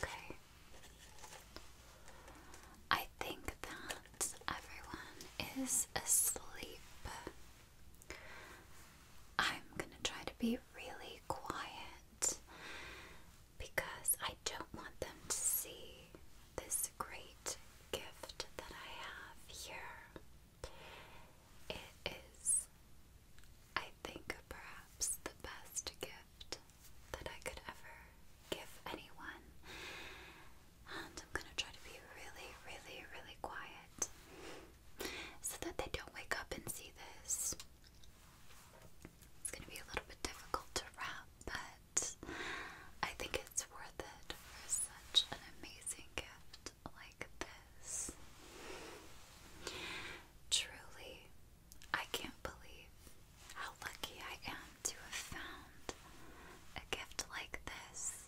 Okay. I think that everyone is asleep. I'm going to try to be really quiet because I don't want them to see this great gift that I have here. It is, I think, perhaps the best gift that I could ever give anyone. And I'm gonna try to be really, really, really quiet so that they don't wake up and see this. It's gonna be a little bit difficult to wrap, but I think it's worth it for such an amazing gift like this. Truly, I can't believe how lucky I am to have found a gift like this.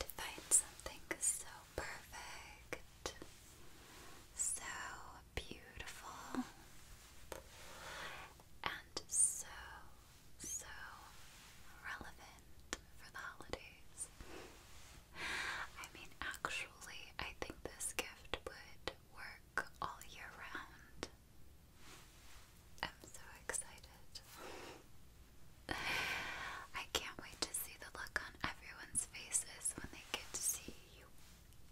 To find something so perfect, so beautiful, and so so relevant for the holidays. I mean, actually, I think this gift would work all year round. I'm so excited. I can't wait to see the look on everyone's faces when they get to see you.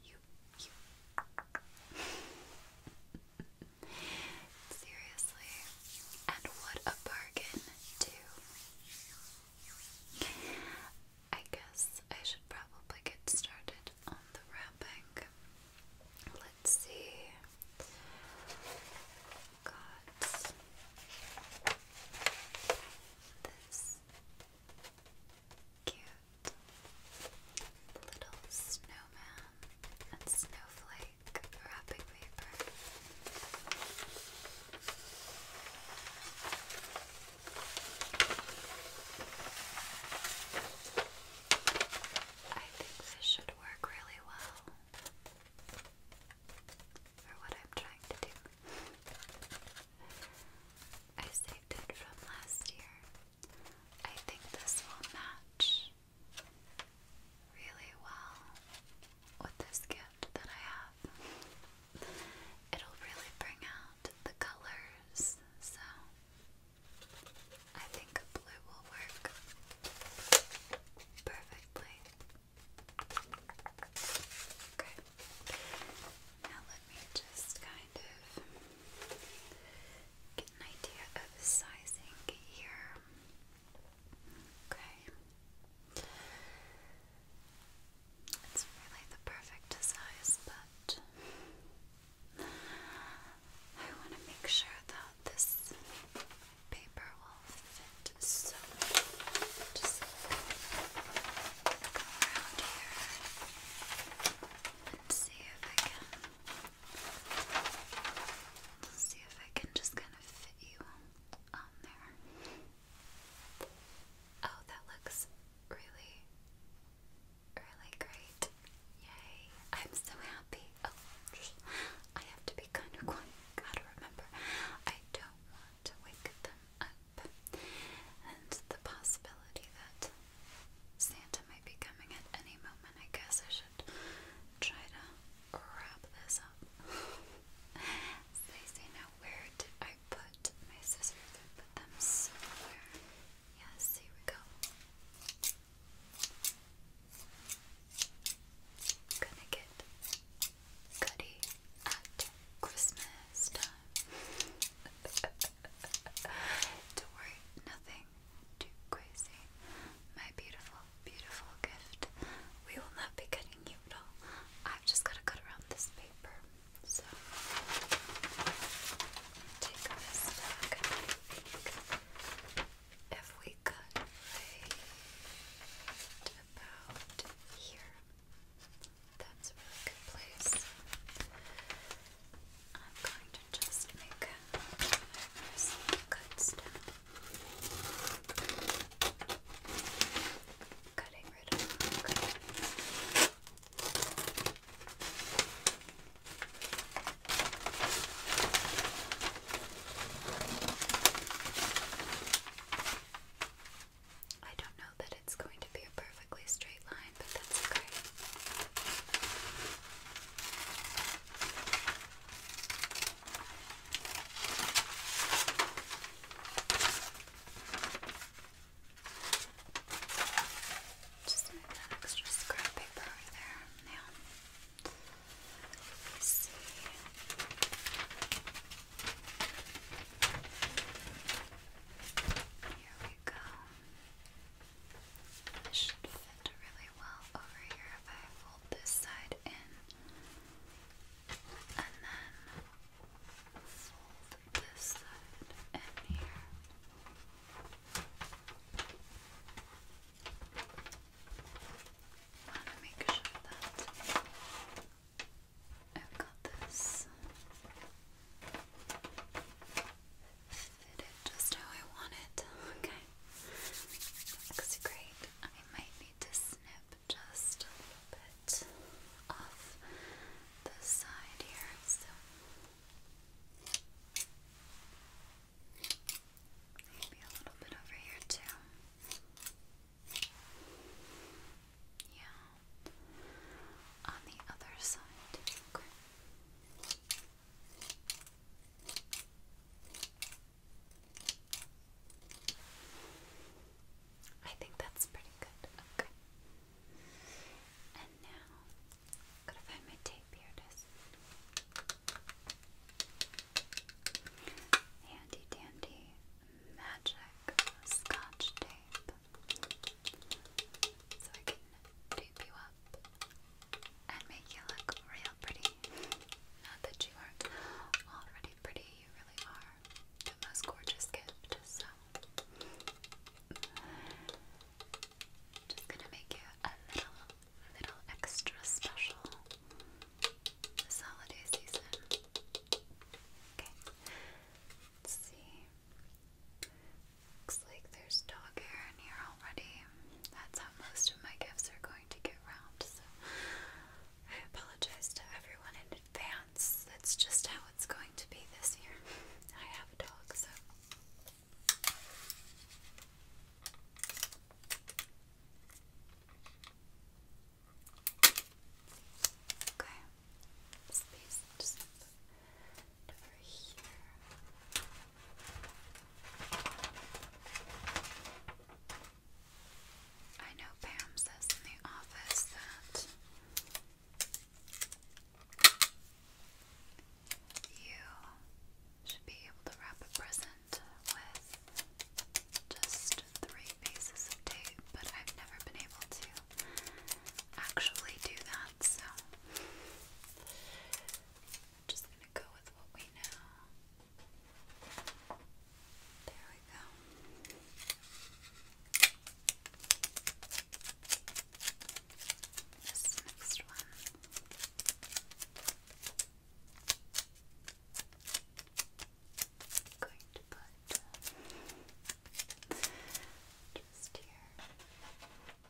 You, you. Seriously. And what a bargain, too. I guess I should probably get started on the wrapping. Let's see. Got this cute little snowman and snowflake. I think this should work really well for what I'm trying to do. I saved it from last year. I think this will match really well with this gift that I have. It'll really bring out the colors, so I think blue will work perfectly. Okay. Now let me just kind of get an idea of sizing here. Okay. It's really the perfect size, but I want to make sure that this paper will fit. So just around here and see if I can see if I can just kind of fit you on there. Oh, that looks really, really great. Yay. I'm so happy. Oh, I have to be kind of quiet. Gotta remember, I don't want to wake them up. And the possibility that Santa might be coming at any moment, I guess I should try to wrap this up. they say, now where did I put my scissors? I put them somewhere. Yes, here we go. Gonna get goody at Christmas time. Don't worry, nothing too crazy. My beautiful, beautiful gift. We will not be cutting you at all. I've just got to cut around this paper. So, take this back. If we cut right about here, that's a really good place. I'm going to just make a few cuts down I don't know that it's going to be a perfectly straight line, but that's okay. Just move that extra scrap paper over there. Now, let me see. Here we go. This should fit really well over here if I fold this side in and then fold this side in here. want to make sure that I've got this fit it just how I want it. Okay. looks great. I might need to snip just a little bit off the side here. So maybe a little bit over here too. Yeah. On the other side. Okay. I think that's pretty good. Okay. And now, i to find my tape here it is. Handy dandy magic scotch tape. So I can tape you up and make you look real pretty. Not that you aren't already pretty, you really are the most gorgeous gift, so. Just gonna make you a little, little extra special this holiday season. Okay, let's see. Looks like there's dog hair in here already. That's how most of my gifts are going to get round, so I apologize to everyone in advance. That's just how it's going to be this year. I have a dog, so. Okay, space just over here. I know Pam says in the office that you should be able to wrap a present with just three pieces of tape, but I've never been able to actually do that, so I'm just going to go with what we know. There we go. This next one. I'm going to put just here.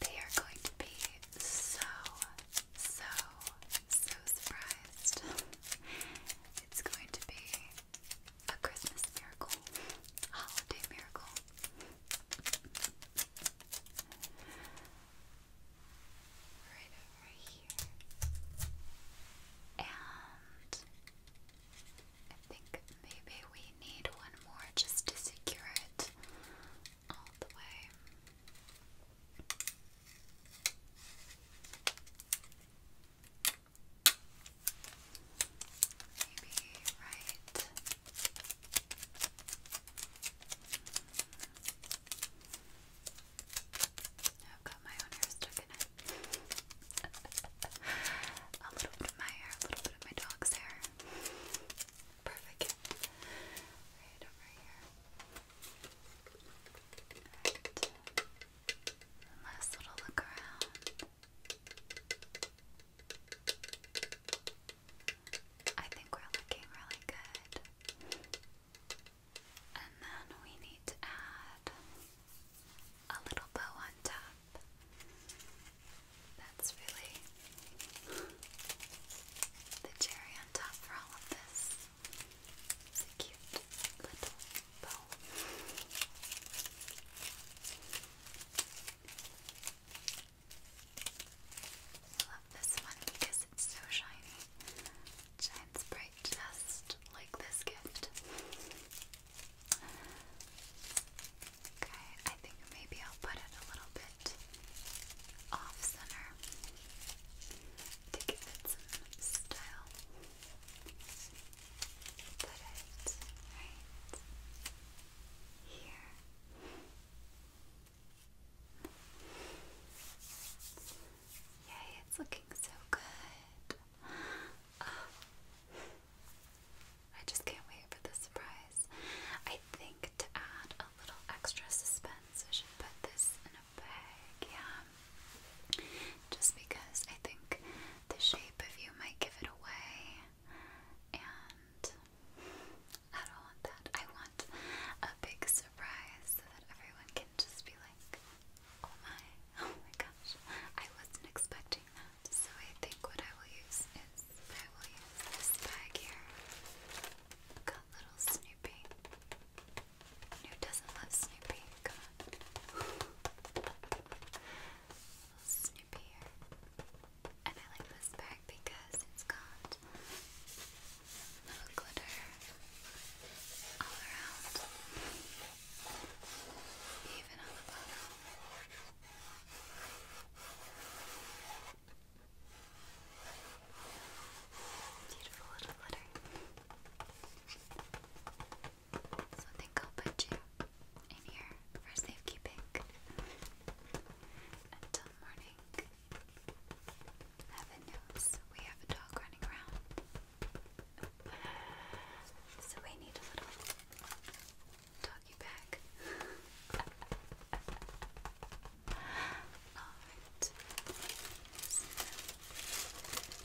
They are going to be so, so, so surprised. It's going to be a Christmas miracle, holiday miracle. Right over here. And I think maybe we need one more just to secure it all the way. Maybe right. I've got my own hair stuck in it a little bit of my hair, a little bit of my dog's hair. Perfect. Right over here. Last little look around. I think we're looking really good. And then we need to add a little bow on top. That's really the cherry on top for all of this. It's a cute little bow. I love this one because it's so shiny. It bright just like this gift. Okay, I think maybe I'll put it a little bit off center to give it some style. Put it right here. Yay, it's looking so good. Oh. I just can't wait for the surprise. I think to add a little extra suspense, I should put this in a bag, yeah. Just because I think the shape of you might give it away, and I don't want that. I want a big surprise so that everyone can just be like, oh my, oh my gosh, I wasn't expecting so I think what I will use is I will use this bag here. Got little Snoopy. Who doesn't love Snoopy? Come on. little Snoopy here. And I like this bag because it's got little glitter all around. Even on the bottom. Beautiful little letter. So I think I'll put you in here for safekeeping until morning. Heaven knows we have a dog running around. So we need a little talkie bag. Alright.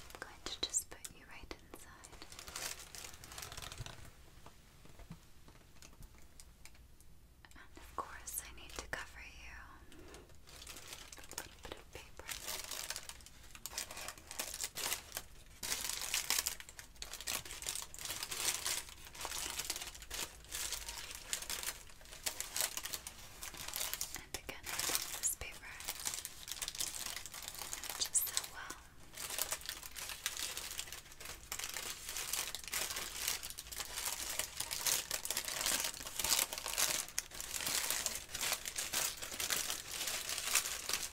I'm going to just put you right inside. And of course, I need to cover you with a little bit of paper. And again, I love this paper. It just so well.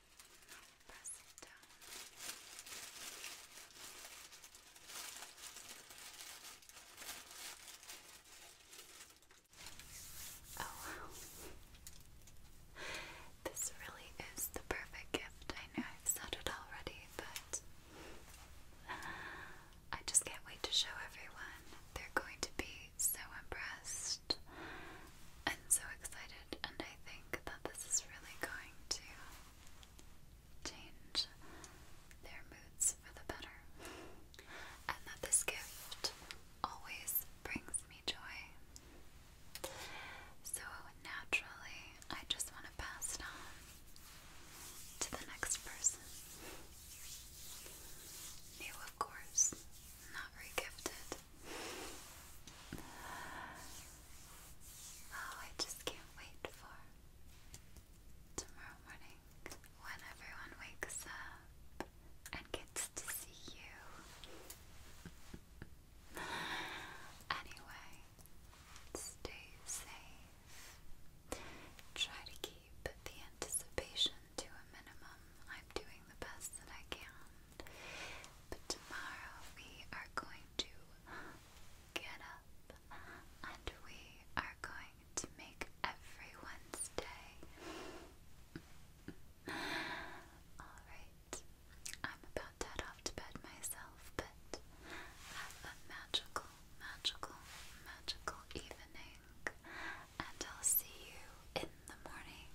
Oh This really is the perfect gift. I know i said it already, but I just can't wait to show everyone. They're going to be so impressed and so excited, and I think that this is really going to change their moods for the better. And that this gift always brings me joy. So naturally, I just want to pass it on to the next person. New, of course, not regifted. Oh, I just can't wait for tomorrow morning when everyone wakes up and gets to see you. anyway, stay safe. Try to keep the anticipation to a minimum. I'm doing the best that I can. But tomorrow we are going to get up and we are going to make everyone's day. Alright, I'm about to head off to bed myself, but have a magical, magical, magical evening, and I'll see you in the morning.